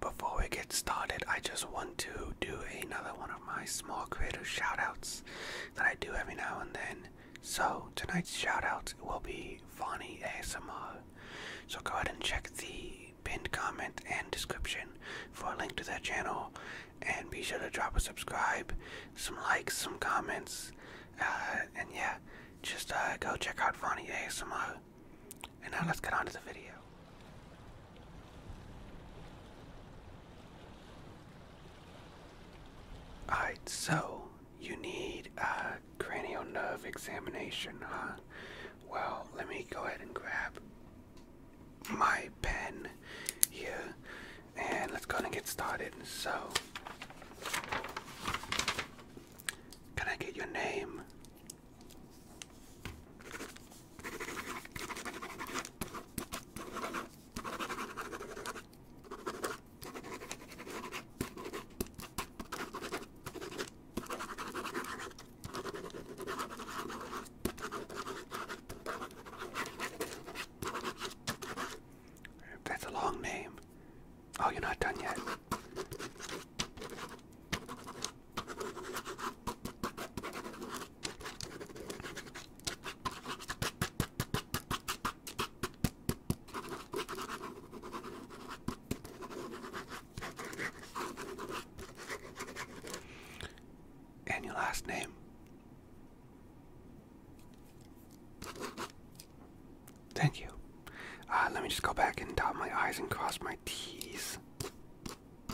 Before we get started, I just want to do another one of my small creator shoutouts that I do every now and then. So, tonight's shoutout will be Vonnie ASMR. So, go ahead and check the pinned comment and description for a link to their channel. And be sure to drop a subscribe, some likes, some comments. Uh, and yeah, just uh, go check out Vonnie ASMR. And now let's get on to the video. Alright, so you need a cranial nerve examination, huh? Well, let me go ahead and grab my pen here and let's go and get started. So, can I get your name? That's a long name. Oh, you're not done yet. And your last name? Thank you. Uh, let me just go back and dot my I's and cross my T's.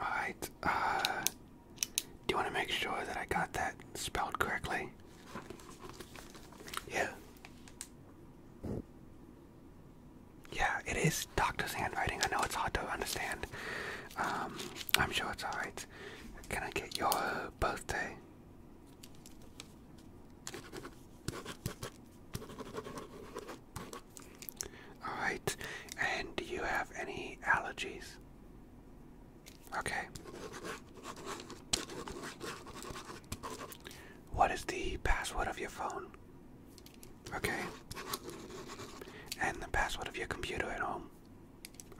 Alright, uh, do you want to make sure that I got that spelled correctly? Yeah. Yeah, it is Doctor's handwriting. I know it's hard to understand. Um, I'm sure it's alright. Can I get your birthday? All right. And do you have any allergies? Okay. What is the password of your phone? Okay. And the password of your computer at home?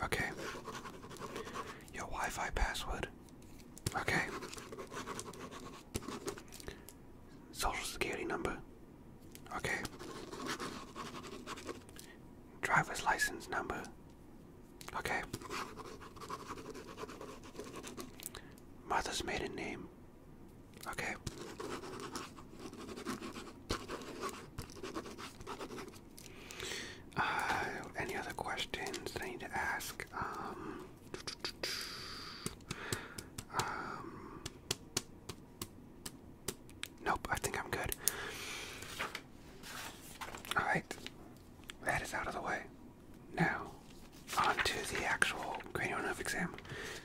Okay. Your Wi Fi password? Okay. Social security number. Okay. Driver's license number. Okay. Mother's maiden name. Okay. Uh, any other questions that I need to ask? Um, um, nope, I think I'm good. Alright, that is out of the way. Now, on to the actual cranial nerve exam.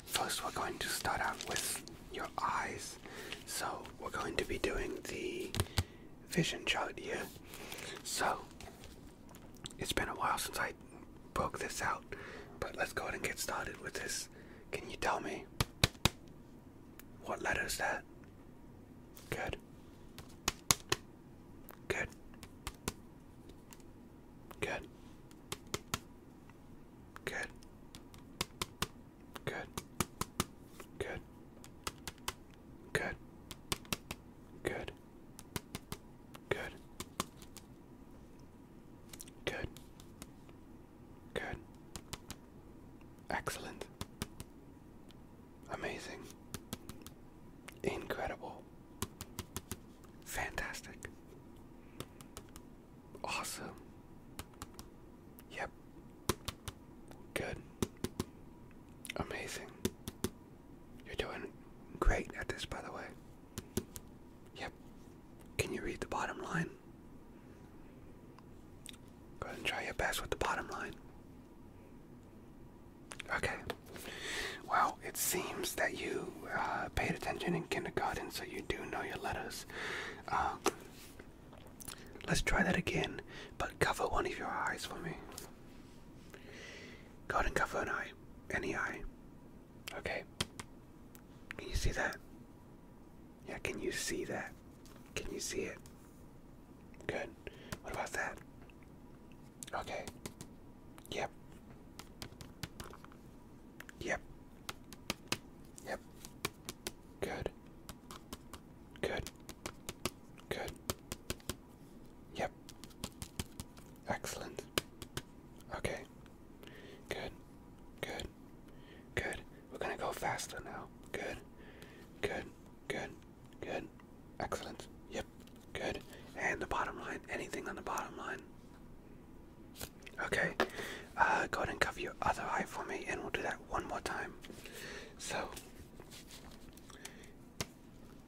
First, we're going to start out with your eyes. So, we're going to be doing the vision chart here. So, it's been a while since I broke this out, but let's go ahead and get started with this. Can you tell me what letter is that? Good. Good. Good. Good. Good. Good. Good. Good. Good. Good. Good. Excellent. Amazing. Incredible. Fantastic. Awesome. Yep. Good. Amazing. You're doing great at this, by the way. Yep. Can you read the bottom line? Go ahead and try your best with the bottom line. Okay. Well, it seems that you uh, paid attention in kindergarten, so you do know your letters. Um, let's try that again, but cover one of your eyes for me. Go and cover an eye. Any eye. Okay. Can you see that? Yeah, can you see that? Can you see it? Good. What about that? Okay. Yep. Yep. Yep. Good. Good. Good. Yep. Excellent. Okay. Good. Good. Good. We're gonna go faster now. Good. Good. Good. Good. Excellent. Yep. Good. And the bottom line. Anything on the bottom line. Okay. Uh, go ahead and cover your other eye for me, and we'll do that one more time. So,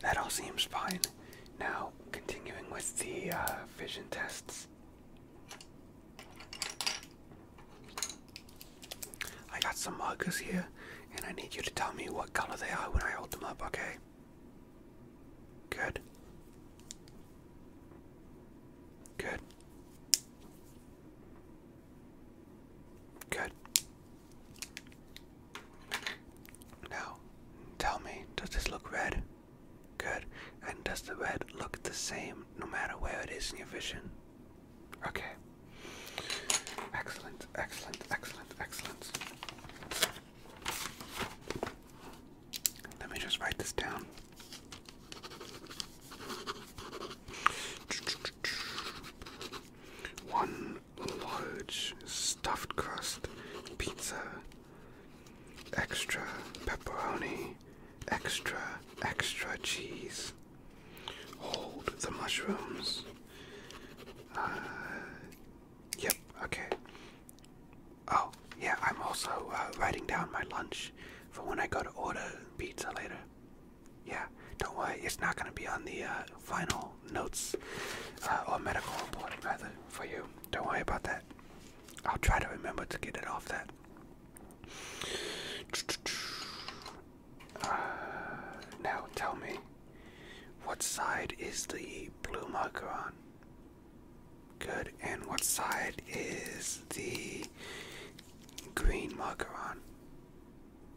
That all seems fine. Now, continuing with the uh, vision tests. I got some markers here, and I need you to tell me what color they are when I hold them up, okay? Good. Good. Good. Now, tell me, does this look red? Good. And does the red look the same no matter where it is in your vision? Okay. Excellent, excellent, excellent, excellent. Let me just write this down. One large stuffed crust pizza, extra pepperoni, extra, extra cheese. Hold the mushrooms. Uh, yep, okay. Oh, yeah, I'm also uh, writing down my lunch for when I go to order pizza later. Yeah, don't worry, it's not going to be on the uh, final notes uh, or medical report, rather, for you. Don't worry about that. I'll try to remember to get it off that. Uh, now tell me, what side is the blue marker on? Good. And what side is the green marker on?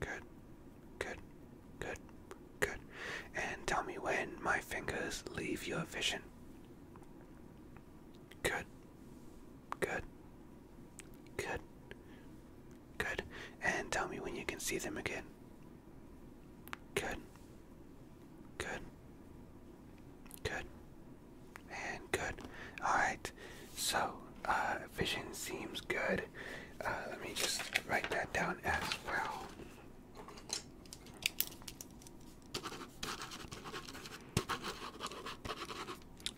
Good, good, good, good. And tell me when my fingers leave your vision. Good, good, good, good. And tell me when you can see them again. Good, good, good, and good. Alright. So, uh, vision seems good. Uh, let me just write that down as well.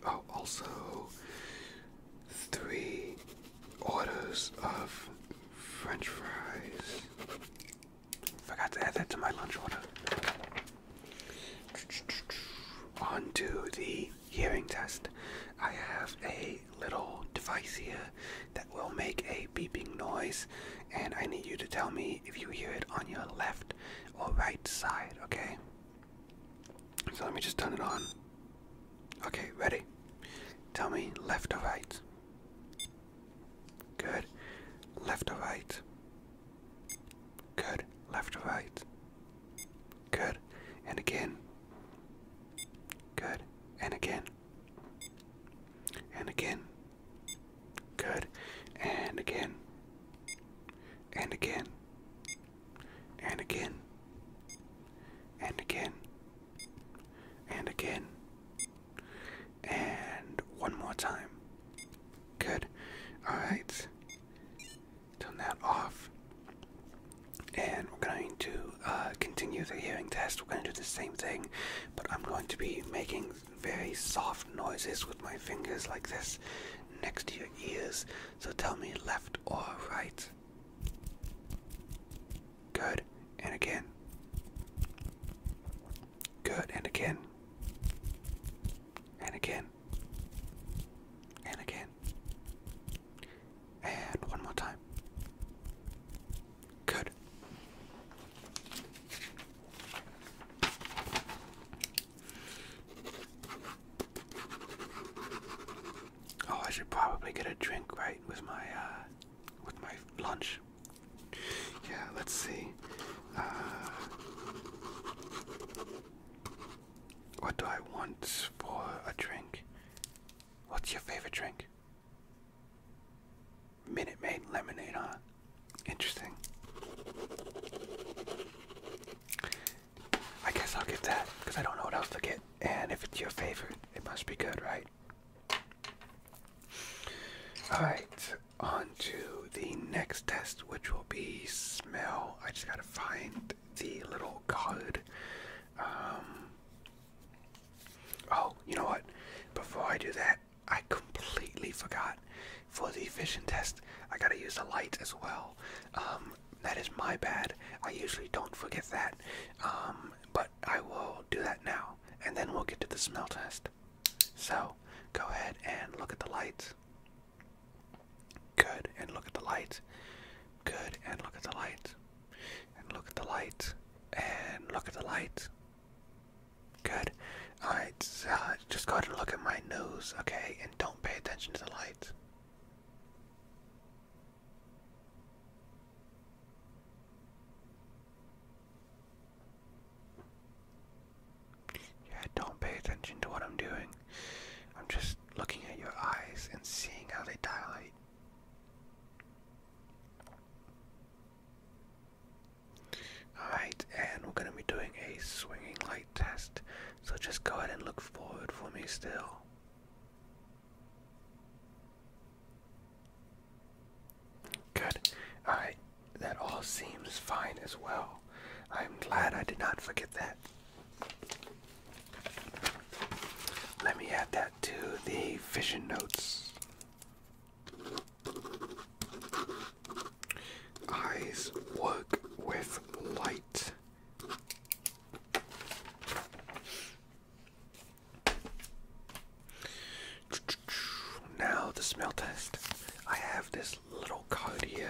Oh, also, three orders of French fries. Forgot to add that to my lunch order. Onto the hearing test. I have a little device here that will make a beeping noise, and I need you to tell me if you hear it on your left or right side, okay? So let me just turn it on. Okay, ready? Tell me left or right. Good. Left or right. Good. Left or right. Good. And again. Good. And again. And again. Good. And again. And again. And again. And again. And again. And one more time. Good. Alright turn that off. And we're going to uh, continue the hearing test. We're going to do the same thing, but I'm going to be making very soft noises with my fingers like this next to your ears. So tell me left or right. Good. And again. Good. And again. And again. And again. And one more time. Good. Oh, I should probably get a drink right with my uh, with my lunch. Yeah, let's see. Uh, what do I want for a drink? What's your favorite drink? Minute Maid lemonade, Interesting. I guess I'll get that because I don't know what else to get. And if it's your favorite, it must be good, right? Alright, on to the next test, which will be smell. I just gotta find the little code. Um, oh, you know what? Before I do that, I completely forgot. For the vision test, I gotta use the light as well. Um, that is my bad. I usually don't forget that. Um, but I will do that now, and then we'll get to the smell test. So, go ahead and look at the lights. Good, and look at the lights. Good, and look at the lights. And look at the lights. And look at the light. Good. Alright, uh, just go ahead and look at my nose, okay? And don't pay attention to the lights. Yeah, don't pay attention to what I'm doing. I'm just looking at your eyes and seeing how they dilate. Alright, and we're going to be doing a swinging light test. So just go ahead and look forward for me still. Good. Alright, that all seems fine as well. I'm glad I did not forget that. Let me add that to the vision notes. Eyes work with light. Now the smell test. I have this little card here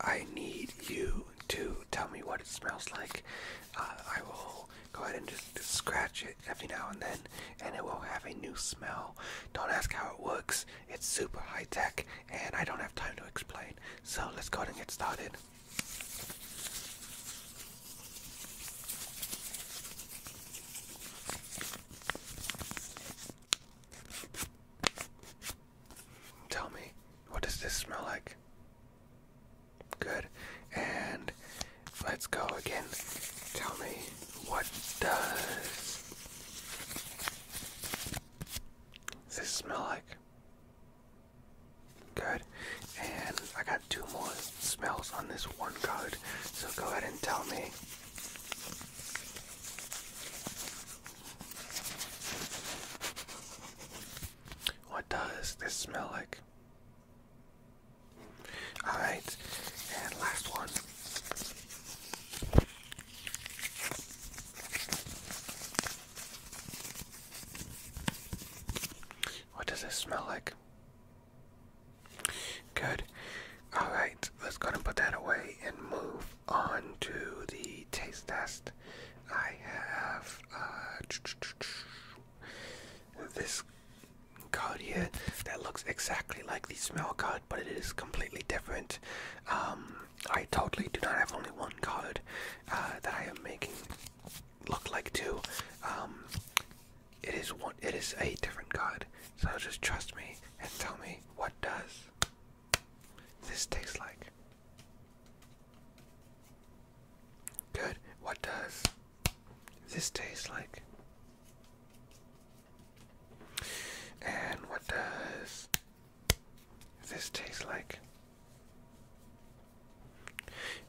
I need you to tell me what it smells like. Uh, I will go ahead and just scratch it every now and then, and it will have a new smell. Don't ask how it works, it's super high tech, and I don't have time to explain. So let's go ahead and get started. Tell me, what does this smell like? Good. And let's go again. Tell me, what does this smell like? Good. And I got two more smells on this one card, so go ahead and tell me. What does this smell like? Alright, and last one. What does this smell like? Good. Alright, let's go and put that away and move on to the taste test. I have uh, this card here that looks exactly like the smell card, but it is completely different. Um, I totally do not have only one card uh, that I am making look like two. Um, it is one. It is a different card. So just trust me and tell me what does this taste like. Good. What does this taste like? And what does this taste like?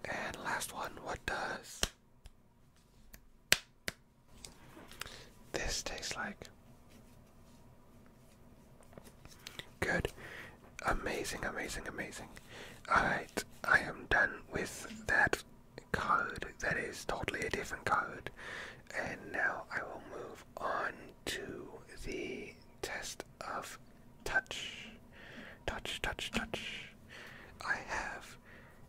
And last one, what does this taste like? Good. Amazing, amazing, amazing. Alright, I am done with that code. That is totally a different code. And now I will move on to the test of touch. Touch, touch, touch. I have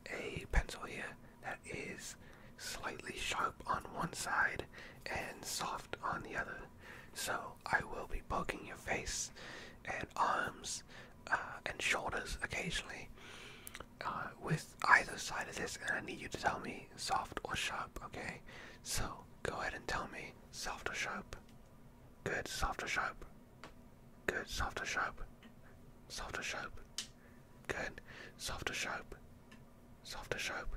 a pencil here that is slightly sharp on one side and soft on the other. So I will be poking your face and arms uh, and shoulders occasionally uh, with either side of this, and I need you to tell me soft or sharp, okay? So go ahead and tell me soft or sharp. Good, soft or sharp. Good, soft or sharp. Soft or sharp. Good, soft or sharp. Soft or sharp.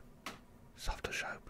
Soft or sharp.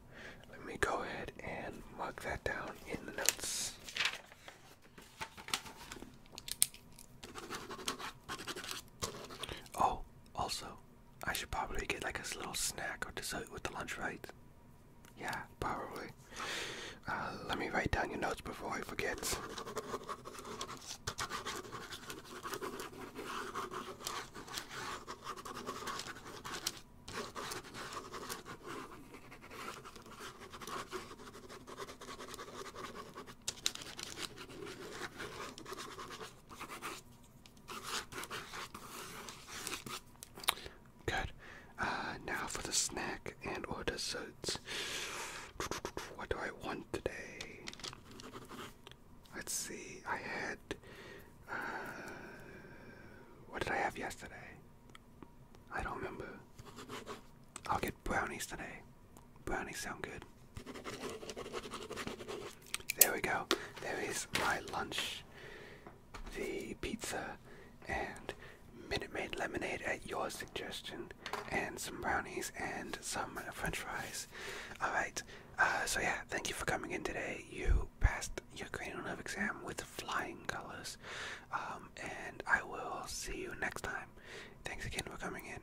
let me go ahead and mark that down in the notes. Oh, also, I should probably get like a little snack or dessert with the lunch, right? Yeah, probably. Uh, let me write down your notes before I forget. Good. Uh, now for the snack and or desserts. What do I want today? Let's see. I had. Uh, what did I have yesterday? I don't remember. I'll get brownies today. Brownies sound good. There we go. There is my lunch. The pizza and Minute Maid lemonade at your suggestion, and some brownies and some French fries. All right. Uh, so yeah, thank you for coming in today. You passed your cranial nerve exam with flying colors. Um, and I will see you next time. Thanks again for coming in.